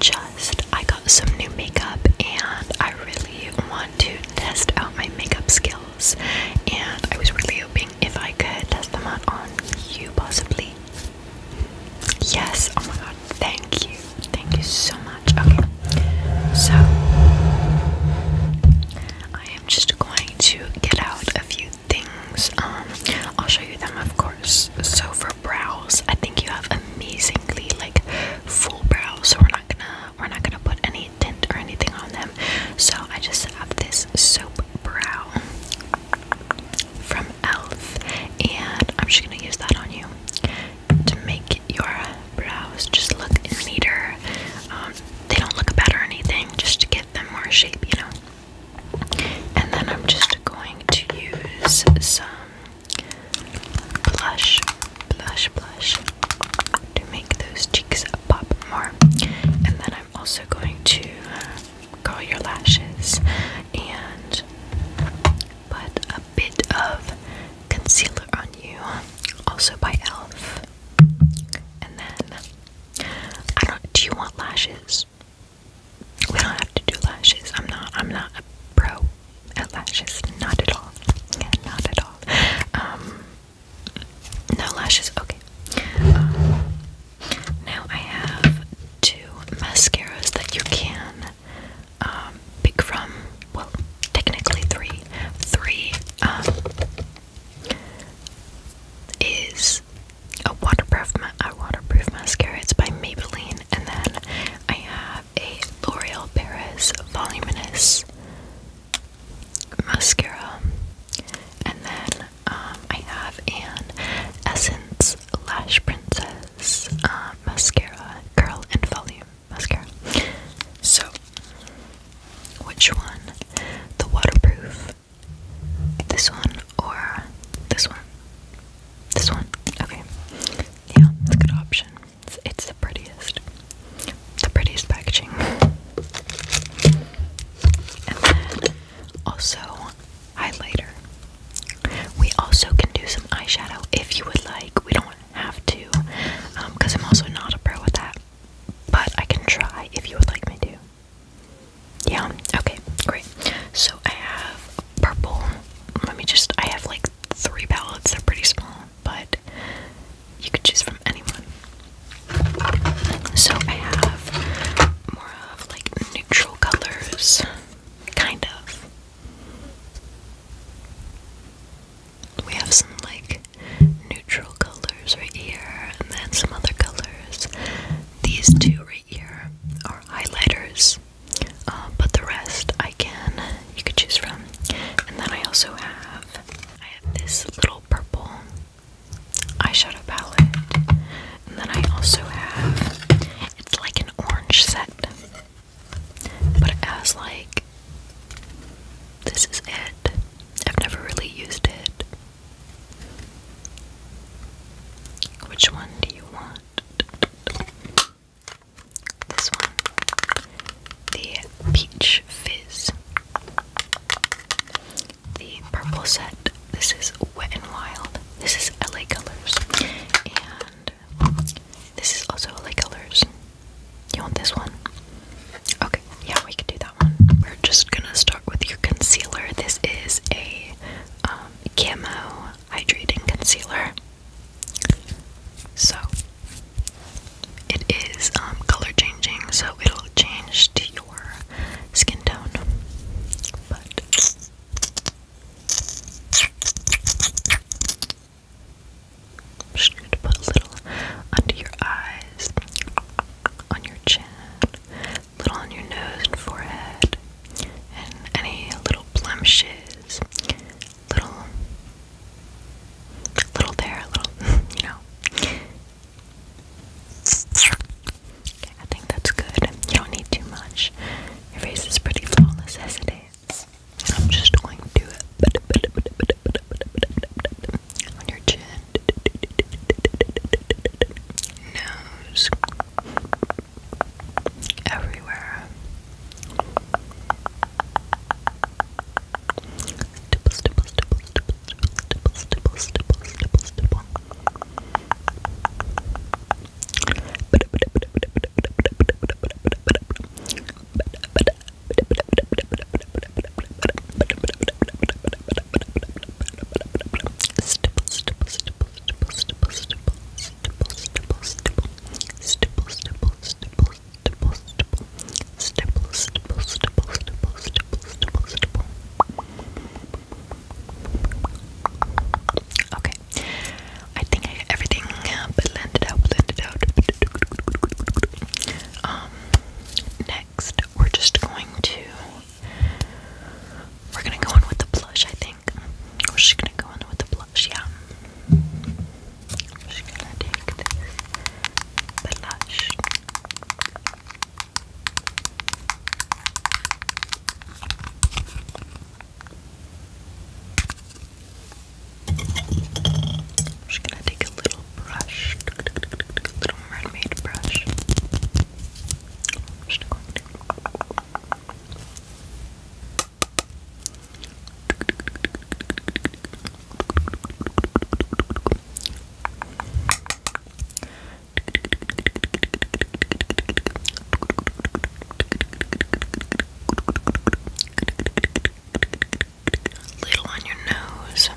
just I got some new makeup and I really want to test out my makeup skills and I was really hoping if I could test them out on you possibly. Yes, oh my god, thank you. Thank you so much. Okay. So I am just going to get out a few things. Um I'll show you them of course. So for brows, I think you have amazing like full brow, so we're not gonna we're not gonna put any tint or anything on them. So I just have this soap brow from Elf, and I'm just gonna use that on you to make your brows just look neater. Um, they don't look bad or anything, just to give them more shape, you know. And then I'm just going to use some blush, blush, blush to make those cheeks pop more. And then I'm also going to curl your lashes and put a bit of concealer on you, also by e.l.f. And then I don't do you want lashes? We don't have to do lashes. I'm not I'm not a pro at lashes. Not at all. not at all. Um no lashes, okay. Um, now I have two mascaras that you can um, pick from well technically three. Three um, is a waterproof, a waterproof mascara. It's by Maybelline, and then I have a L'Oreal Paris Voluminous mascara, and then um, I have an Essence Lash Princess uh, mascara, curl and volume mascara. So, which one? The waterproof. This one or this one? This one. Okay yeah, it's a good option. It's, the prettiest, the prettiest packaging. also highlighter. We also can do some eyeshadow if you would like. We don't have to, because um, I'm also not a pro at that. But I can try if you would like me to. Yeah, okay, great. So I have purple. Let me just, I have like three palettes, they're pretty small, but you could choose from anyone. So I have more of like neutral colors, kind of. We have some like neutral colors right here, and then some other colors. These two right here are highlighters. Uh, but the rest I can you could choose from. And then I also have I have this little purple eyeshadow palette, and then I also have it's like an orange set, but it has like this is it. I've never really used it. Which one do you want? This one, the Peach Fizz. The purple set, this is Wet and Wild. This is LA Colors. And this is also LA Colors. You want this one? Okay, yeah, we can do that one. We're just gonna start with your concealer. This is a um, camo hydrating concealer. So it is um, color changing, so it'll change to your skin tone. But I'm just going to put a little under your eyes, on your chin, a little on your nose and forehead, and any little blemishes little, little there, little, you know. I think that's good. You don't need too much. Your face is pretty flawless as it is. I'm just going to do it on your chin, nose, everywhere. Stipple, stipple, stipple, stipple, stipple, stipple, stipple, stipple, stipple, stipple, stipple, stipple, stipple, stipple, stipple. Okay, I think I everything uh, blended out, blended out. Um, next we're just going to we're gonna go in with the blush. I think think. Was she gonna go in with the blush? Yeah. She's gonna take this blush. i gonna take a little brush, a little mermaid brush. Little on your nose.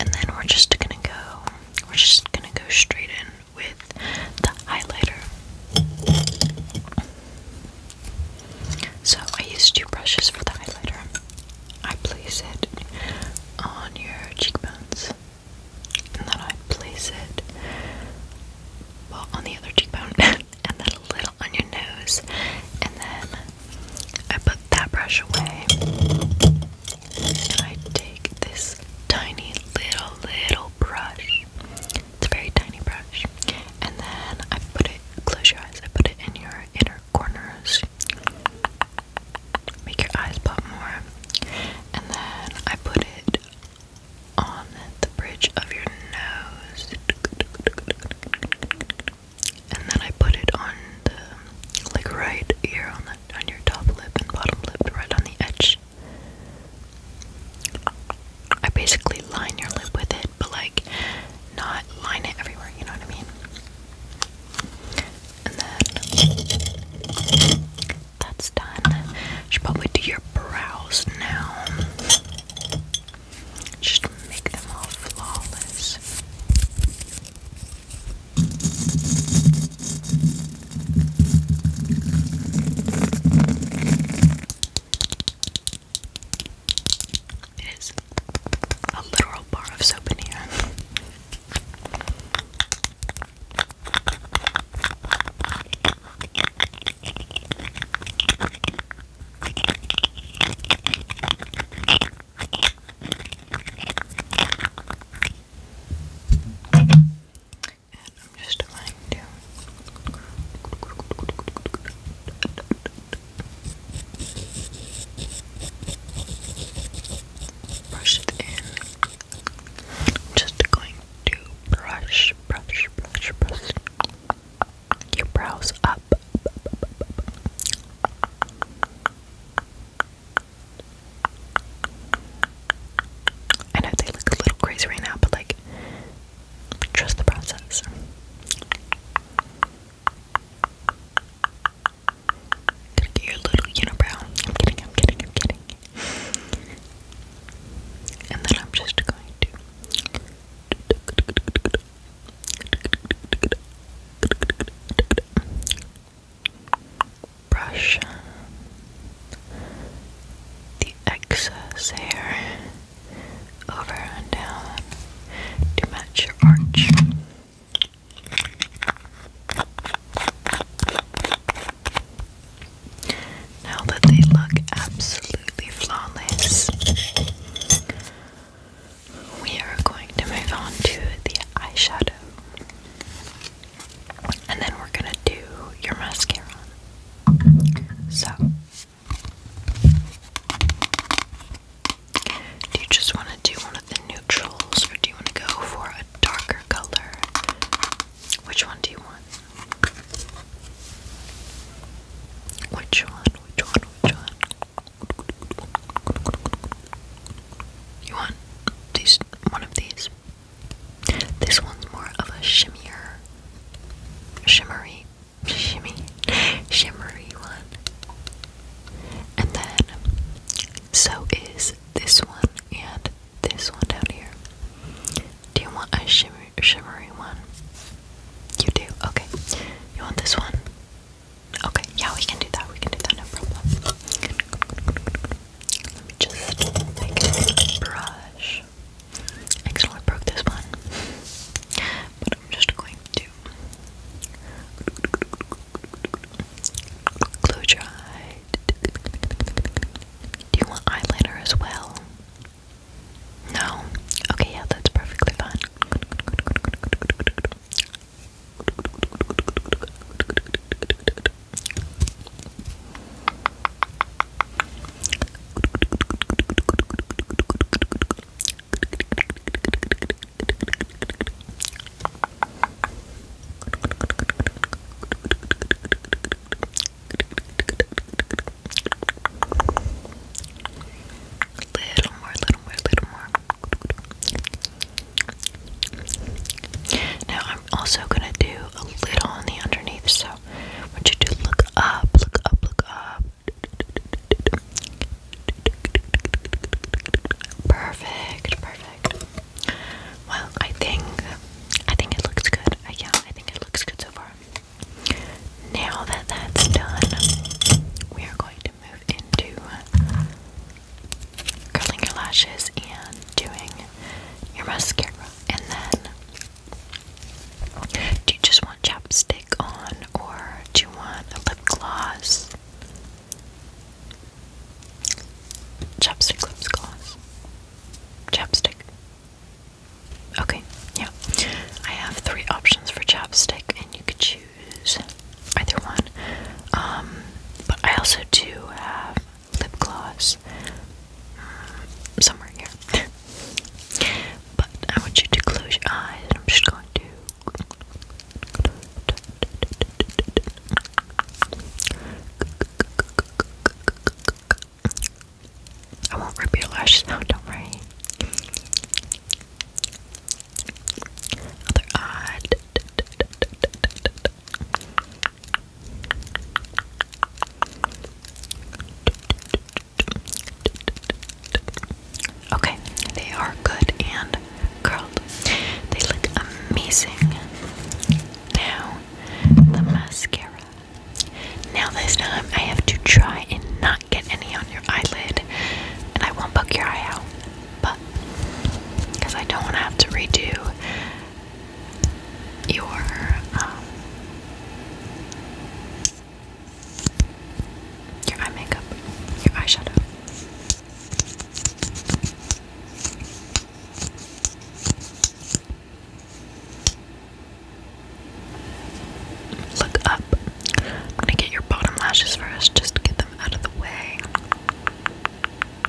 And then we're just gonna go, we're just gonna go straight in with the highlighter. So I use two brushes for the highlighter. I place it on your cheekbones, and then I place it well on the other cheekbone, and then a little on your nose, and then I put that brush away and I take this tiny little little brush. It's a very tiny brush. And then I put it close your eyes. I put it in your inner corners. Make your eyes pop more. And then I put it on the bridge of your nose. And then I put it on the like right ear on the on your top lip and bottom lip, right on the edge I basically line your lip with it, but like not line it everywhere, you know what I mean? And then that's done. Should probably do your brows now. Just make them all flawless. It is a literal bar of soap in here. And I'm just going to brush it in. I'm just going to brush, brush, brush, brush your brows up. I know they look a little crazy right now, but like, trust the process. Gonna get your little unibrow. I'm kidding, I'm kidding, I'm kidding. And then I'm just going to brush the excess hair over and down to match your arch. Now that they look absolutely flawless, we are going to move on to the eyeshadow and then we're gonna do your mascara. So, do you just want to do one of the neutrals, or do you want to go for a darker color? Which one do you want? Which one? Which one? Which one? You want these? One of these? This one's more of a shimmier, shimmery, shimmy, shimmery one. And then, so is this one and this one down here. Do you want a shimmery, shimmery one? You do? Okay. You want this one? Okay, yeah, we can do that. We can do that, no problem. Let me just take a brush. I broke this one. But I'm just going to close your eye. Do you want eyeliner as well? No? Okay, yeah, that's perfectly fine. Little more, little more, little more. Now I'm also gonna do a little on the underneath. So what want you do? look up, look up, look up. Perfect, perfect. Well, I think I think it looks good. I, uh, yeah, I think it looks good so far. Now that that's done, we are going to move into uh, curling your lashes and doing your mascara and then do you just want chapstick on or do you want a lip gloss? Chapstick, lip gloss. Chapstick. Okay, yeah. I have three options for chapstick, and you could choose either one. Um, but I also do have lip gloss um, somewhere here. but I want you to close your eyes, and I'm just going to. I won't rip your lashes out, don't worry. Other Okay, they are good and curled. They look amazing. Now, the mascara. Now, this time I have to try and not get any on your eyelid, and I won't poke your eye out, but because I don't want to have to redo your um your eye makeup, your eyeshadow. Look up. I'm gonna get your bottom lashes first, just get them out of the way.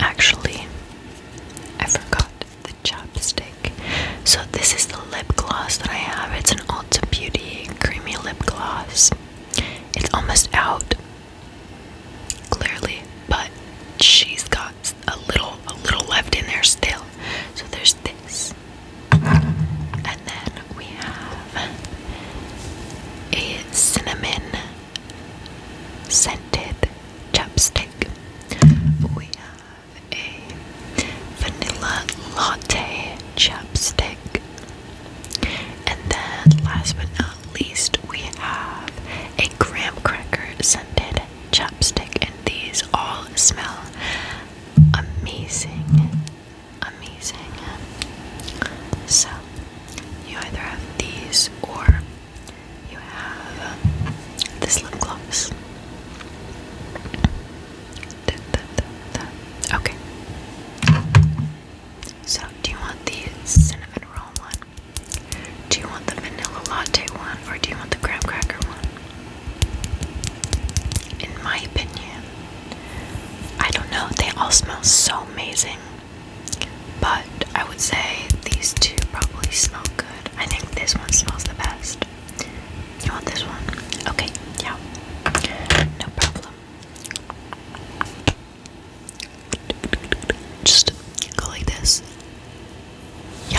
Actually, I forgot the chapstick. So, this is the lip gloss that I have. It's an Ulta Beauty creamy lip gloss. It's almost out, clearly, but she's got a little, a little left in there still. So, there's this. And then we have a cinnamon scented chapstick. We have a vanilla latte chapstick. And then, last but not least, we have a graham cracker scented chapstick. And these all smell amazing amazing. So, you either have these or you have um, this lip gloss. Okay. So, do you want the cinnamon roll one? Do you want the vanilla latte one or do you want the graham cracker one? In my opinion, I don't know, they all smell so amazing. But I would say these two probably smell good. I think this one smells the best. You want this one? Okay, yeah. No problem. Just go like this. Yeah.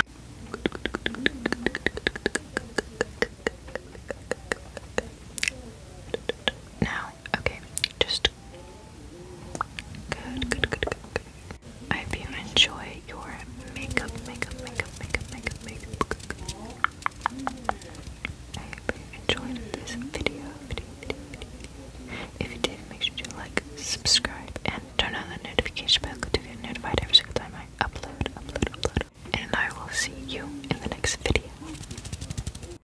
Now, okay, just Good, good, good, good, good. I hope you enjoy your makeup, makeup, makeup, makeup, makeup, makeup. I hope you enjoyed this video, video, video, video, video. If you did, make sure to like, subscribe, and turn on the notification bell to get notified every single time I upload, upload, upload. And I will see you in the next video.